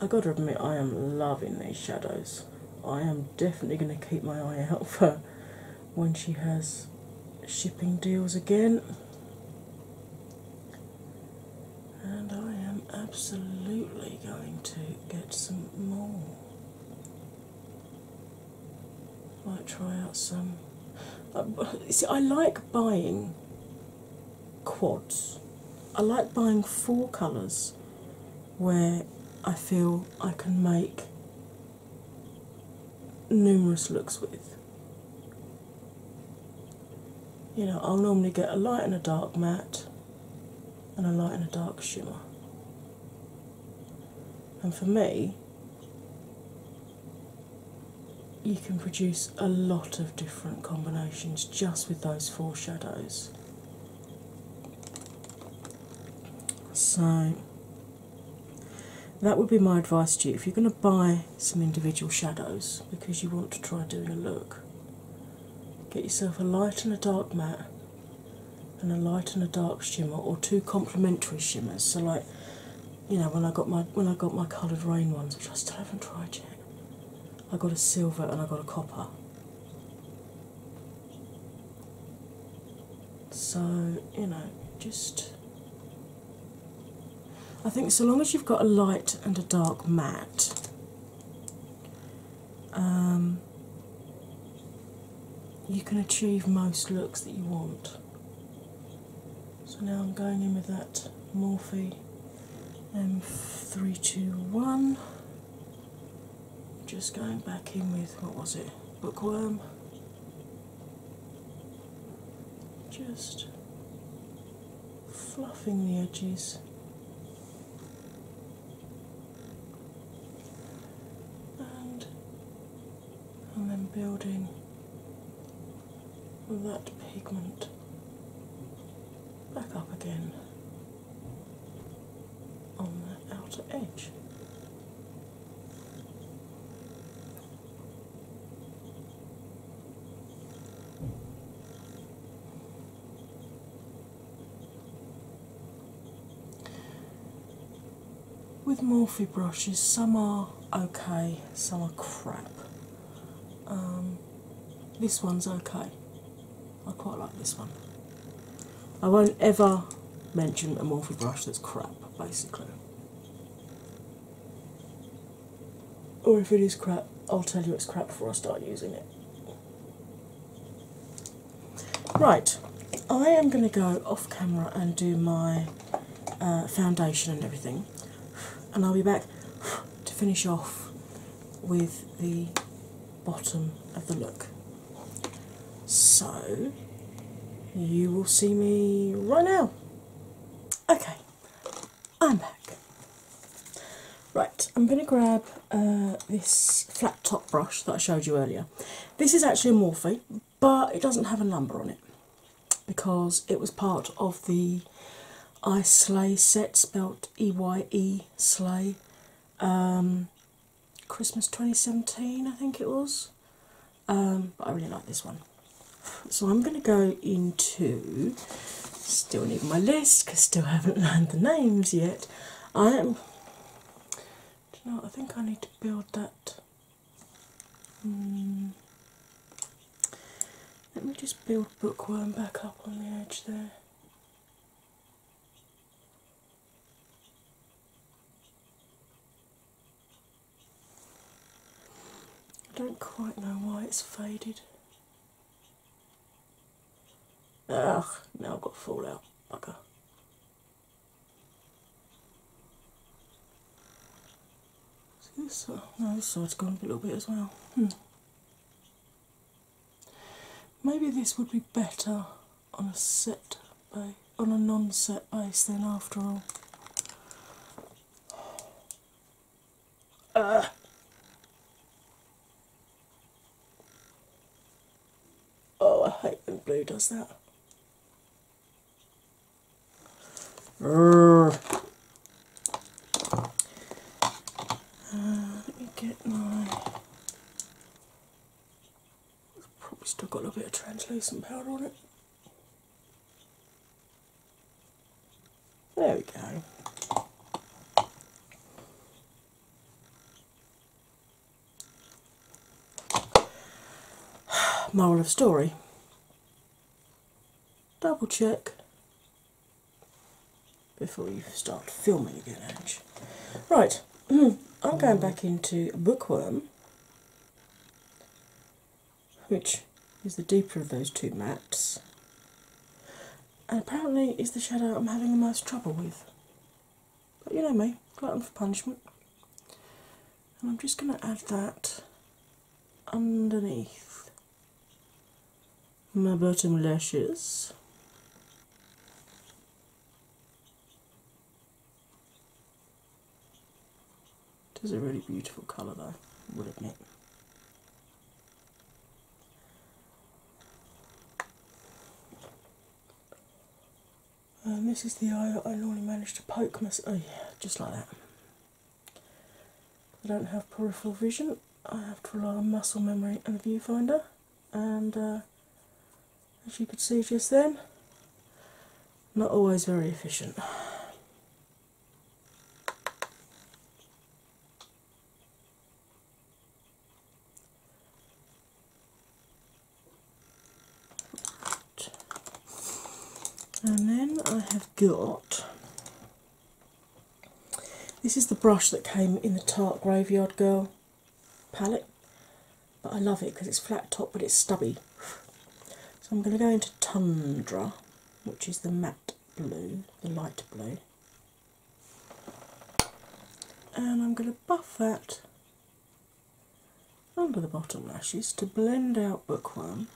I gotta admit, I am loving these shadows. I am definitely going to keep my eye out for when she has shipping deals again. And I am absolutely going to get some more. Might try out some. Uh, see, I like buying quads. I like buying four colours where I feel I can make numerous looks with. You know, I'll normally get a light and a dark matte, and a light and a dark shimmer. And for me, you can produce a lot of different combinations just with those four shadows. So that would be my advice to you if you're going to buy some individual shadows because you want to try doing a look. Get yourself a light and a dark matte, and a light and a dark shimmer, or two complementary shimmers. So, like, you know, when I got my when I got my coloured rain ones, which I still haven't tried yet, I got a silver and I got a copper. So, you know, just. I think so long as you've got a light and a dark matte, um, you can achieve most looks that you want. So now I'm going in with that Morphe M321. Just going back in with what was it? Bookworm just fluffing the edges. And, and then building that pigment back up again on the outer edge. With Morphe brushes, some are okay, some are crap. Um, this one's okay. I quite like this one. I won't ever mention a Morphe brush that's crap, basically. Or if it is crap, I'll tell you it's crap before I start using it. Right, I am going to go off camera and do my uh, foundation and everything, and I'll be back to finish off with the bottom of the look. So you will see me right now. Okay, I'm back. Right, I'm going to grab uh, this flat top brush that I showed you earlier. This is actually a Morphe, but it doesn't have a number on it because it was part of the I Slay set, spelt E Y E Slay. Um, Christmas 2017, I think it was. Um, but I really like this one. So I'm going to go into. Still need my list because still haven't learned the names yet. I am. Do you know? I think I need to build that. Hmm. let me just build bookworm back up on the edge there. I don't quite know why it's faded. Ugh, now I've got fallout. Bugger. See this side? No, this side's gone a little bit as well. Hmm. Maybe this would be better on a set base, on a non-set base then after all. Oh, I hate when blue does that. Uh, let me get my i probably still got a little bit of translucent powder on it. There we go. Moral of story. Double check before you start filming again, Ange. Right, I'm going back into Bookworm which is the deeper of those two mats, and apparently is the shadow I'm having the most trouble with. But you know me, glutton for punishment. And I'm just going to add that underneath my bottom lashes. It is a really beautiful colour though, would admit. And um, this is the eye that I normally manage to poke myself. Oh yeah, just like that. I don't have peripheral vision. I have to rely on muscle memory and the viewfinder, and uh, as you could see just then. Not always very efficient. And then I have got this is the brush that came in the Tart Graveyard Girl palette but I love it because it's flat top but it's stubby. So I'm going to go into Tundra, which is the matte blue, the light blue, and I'm going to buff that under the bottom lashes to blend out bookworm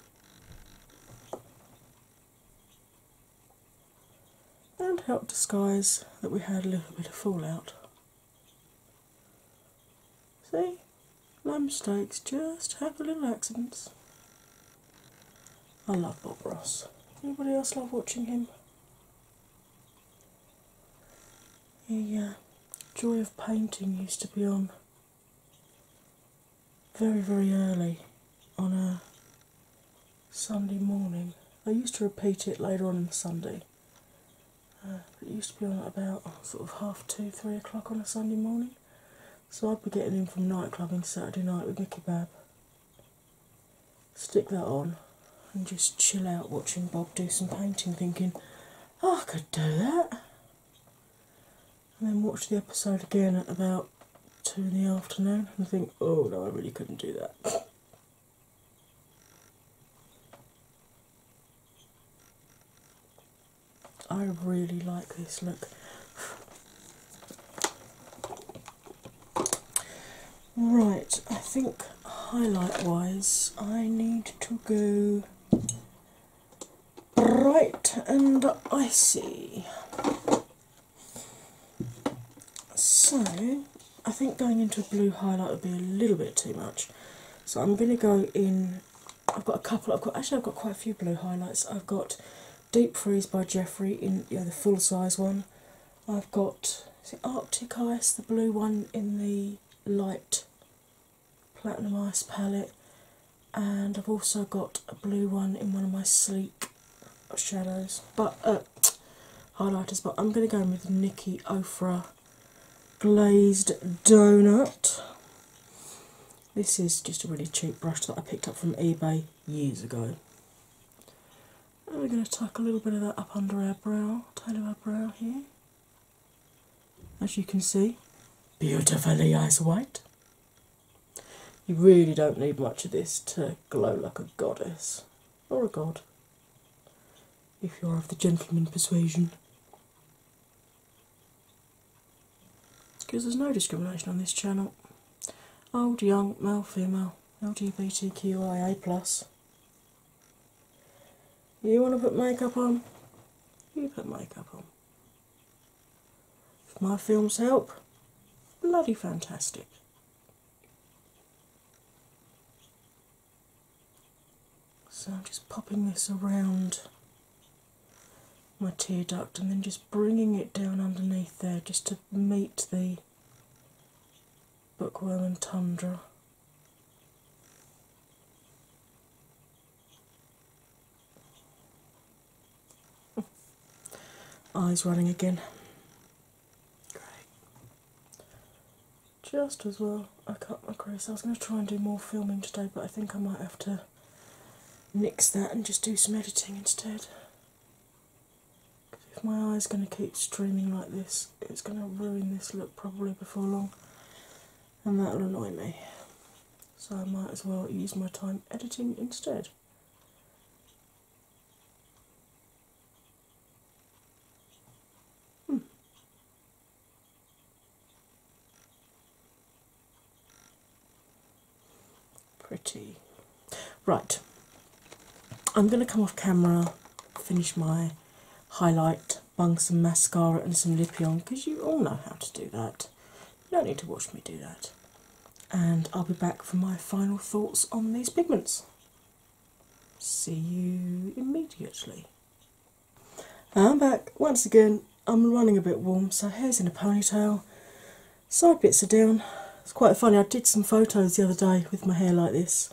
and help disguise that we had a little bit of fallout See? No steaks just have a little accidents. I love Bob Ross. Anybody else love watching him? The uh, Joy of Painting used to be on very, very early on a Sunday morning. I used to repeat it later on in the Sunday, it used to be on at about oh, sort of half two, three o'clock on a Sunday morning. So I'd be getting in from night clubbing Saturday night with my kebab. Stick that on and just chill out watching Bob do some painting, thinking, oh, I could do that. And then watch the episode again at about two in the afternoon and think, oh no, I really couldn't do that. I really like this look. Right, I think highlight wise, I need to go bright and icy. So, I think going into a blue highlight would be a little bit too much. So I'm going to go in. I've got a couple. I've got actually I've got quite a few blue highlights. I've got Deep Freeze by Jeffrey in you the full size one. I've got is Arctic Ice, the blue one in the light platinum ice palette, and I've also got a blue one in one of my sleek shadows, but uh, highlighters. But I'm going to go in with Nikki Ofra glazed donut. This is just a really cheap brush that I picked up from eBay years ago. And we're going to tuck a little bit of that up under our brow, tail of our brow here. As you can see, beautifully eyes white. You really don't need much of this to glow like a goddess or a god if you're of the gentleman persuasion because there's no discrimination on this channel. Old, young, male, female, LGBTQIA. You want to put makeup on? You put makeup on. my films help, bloody fantastic. So I'm just popping this around my tear duct and then just bringing it down underneath there just to meet the bookworm and tundra. Eyes running again just as well I cut my crease. I was going to try and do more filming today, but I think I might have to mix that and just do some editing instead. If my eye's going to keep streaming like this, it's going to ruin this look probably before long, and that'll annoy me. So I might as well use my time editing instead. Hmm. Pretty. Right, I'm going to come off camera, finish my highlight, bung some mascara and some lippy on because you all know how to do that. You don't need to watch me do that. And I'll be back for my final thoughts on these pigments. See you immediately. I'm back once again. I'm running a bit warm, so hair's in a ponytail. Side bits are down. It's quite funny. I did some photos the other day with my hair like this,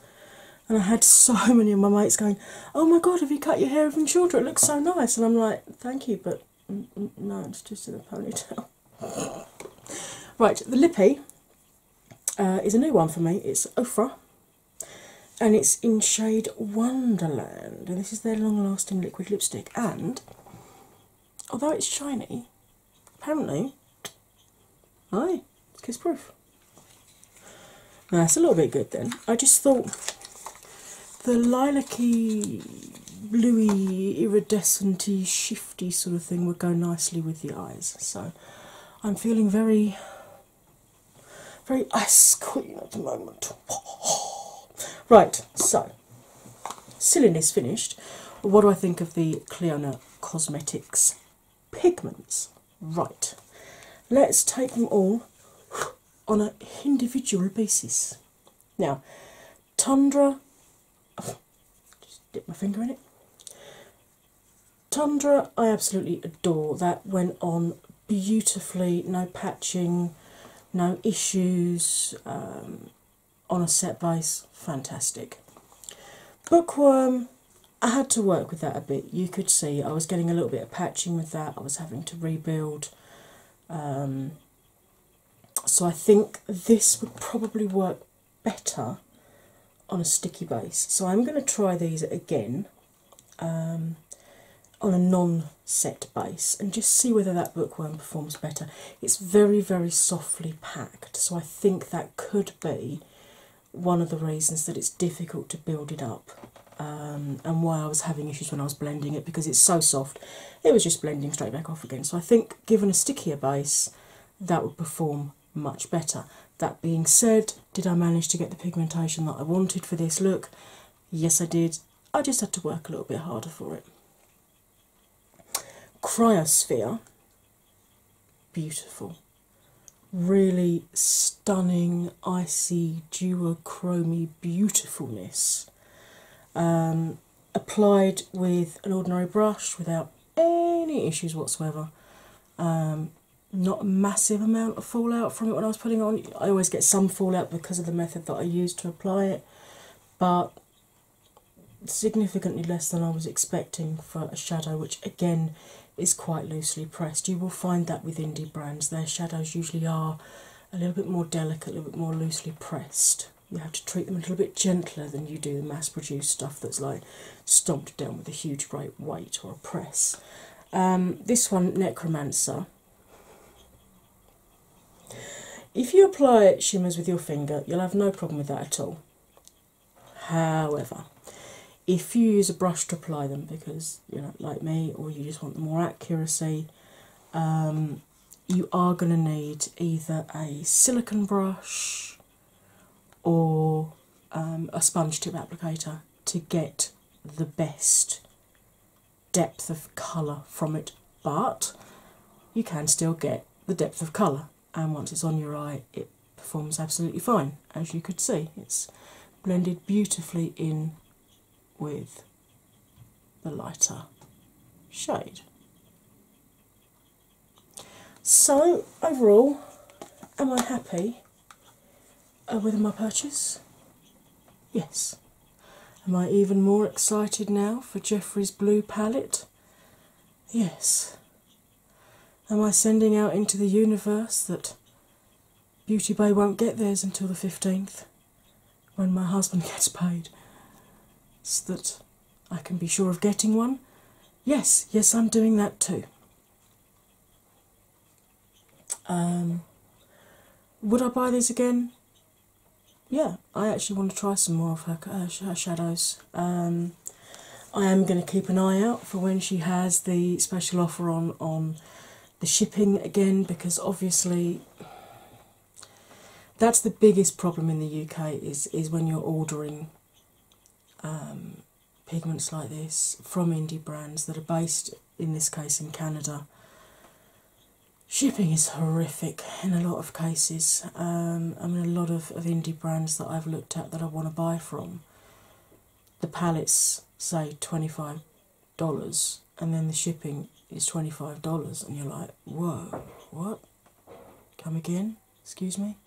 and I had so many of my mates going, "Oh my god, have you cut your hair even shorter? It looks so nice." And I'm like, "Thank you, but no, it's just in a ponytail." right, the lippy uh, is a new one for me. It's Ofra and it's in shade Wonderland. And this is their long lasting liquid lipstick. And although it's shiny, apparently, aye, it's kiss proof. that's a little bit good then. I just thought the lilac-y, bluey, iridescenty, shifty sort of thing would go nicely with the eyes. So I'm feeling very very ice queen at the moment. right, so silliness finished. What do I think of the Cleona Cosmetics pigments? Right, let's take them all on an individual basis. Now, Tundra, just dip my finger in it. Tundra, I absolutely adore. That went on beautifully, no patching, no issues um, on a set base. Fantastic. Bookworm, I had to work with that a bit. You could see I was getting a little bit of patching with that, I was having to rebuild. Um, so I think this would probably work better on a sticky base. So I'm going to try these again um, on a non-set base and just see whether that bookworm performs better. It's very, very softly packed, so I think that could be one of the reasons that it's difficult to build it up um, and why I was having issues when I was blending it because it's so soft. It was just blending straight back off again. So I think given a stickier base, that would perform much better. That being said, did I manage to get the pigmentation that I wanted for this look? Yes, I did. I just had to work a little bit harder for it. Cryosphere, beautiful, really stunning, icy, duochromy beautifulness. Um, applied with an ordinary brush without any issues whatsoever. Um, not a massive amount of fallout from it when I was putting on. I always get some fallout because of the method that I use to apply it, but significantly less than I was expecting for a shadow, which again is quite loosely pressed. You will find that with indie brands, their shadows usually are a little bit more delicate, a little bit more loosely pressed. You have to treat them a little bit gentler than you do the mass produced stuff that's like stomped down with a huge bright white or a press. Um, this one Necromancer. If you apply shimmers with your finger, you'll have no problem with that at all. However, if you use a brush to apply them because you're like me or you just want more accuracy, um, you are going to need either a silicone brush or um, a sponge tip applicator to get the best depth of colour from it, but you can still get the depth of colour. And once it's on your eye, it performs absolutely fine. As you could see, it's blended beautifully in with the lighter shade. So, overall, am I happy? uh, with my purchase? Yes. Am I even more excited now for Jeffrey's blue palette? Yes. Am I sending out into the universe that Beauty Bay won't get theirs until the 15th when my husband gets paid so that I can be sure of getting one? Yes, yes, I'm doing that too. Um, would I buy these again? Yeah, I actually want to try some more of her, her, shadows. Um, I am going to keep an eye out for when she has the special offer on on the shipping again because obviously that's the biggest problem in the UK is is when you're ordering um, pigments like this from indie brands that are based in this case in Canada. Shipping is horrific in a lot of cases. I um, mean, a lot of, of indie brands that I've looked at that I want to buy from, the pallets say $25 and then the shipping is $25, and you're like, whoa, what? Come again? Excuse me?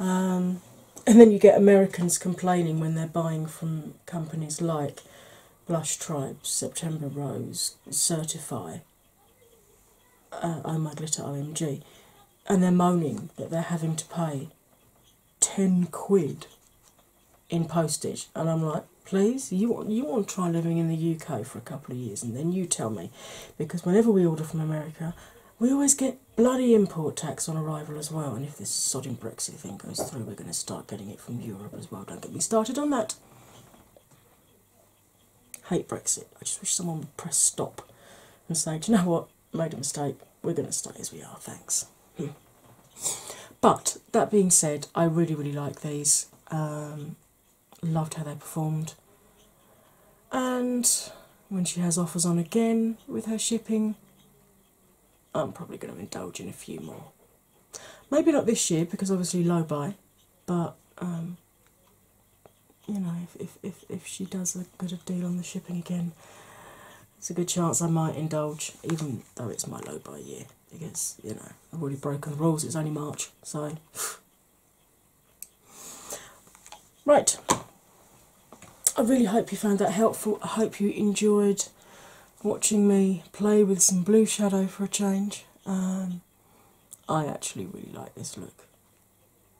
Um, and then you get Americans complaining when they're buying from companies like Blush Tribes, September Rose, Certify, uh, Oh My Glitter OMG, and they're moaning that they're having to pay 10 quid in postage. And I'm like, please, you, you want to try living in the UK for a couple of years and then you tell me. Because whenever we order from America, we always get bloody import tax on arrival as well, if this sodding Brexit thing goes through, we're going to start getting it from Europe as well. Don't get me started on that. Hate Brexit. I just wish someone would press stop and say, Do you know what? Made a mistake. We're going to stay as we are. Thanks. Hmm. But that being said, I really, really like these. Um, loved how they performed. And when she has offers on again with her shipping, I'm probably going to indulge in a few more. Maybe not this year because obviously low buy, but um, you know, if, if, if, if she does a good deal on the shipping again, it's a good chance I might indulge, even though it's my low buy year. I guess, you know, I've already broken the rules, it's only March, so. right. I really hope you found that helpful. I hope you enjoyed watching me play with some blue shadow for a change. Um, I actually really like this look.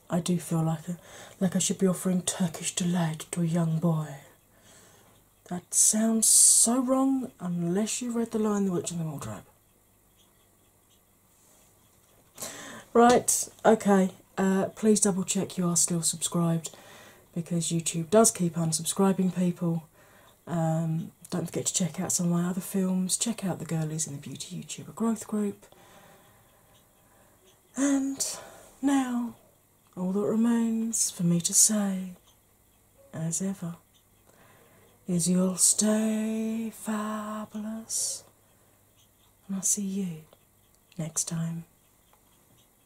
I do feel like a, like I should be offering Turkish delight to a young boy. That sounds so wrong unless you read The Lion, the Witch, and the Wardrobe. Right, okay. Uh, please double check you are still subscribed because YouTube does keep unsubscribing people. Um, don't forget to check out some of my other films. Check out the Girlies in the Beauty YouTuber Growth Group. And now, all that remains for me to say, as ever, is you'll stay fabulous. And I'll see you next time.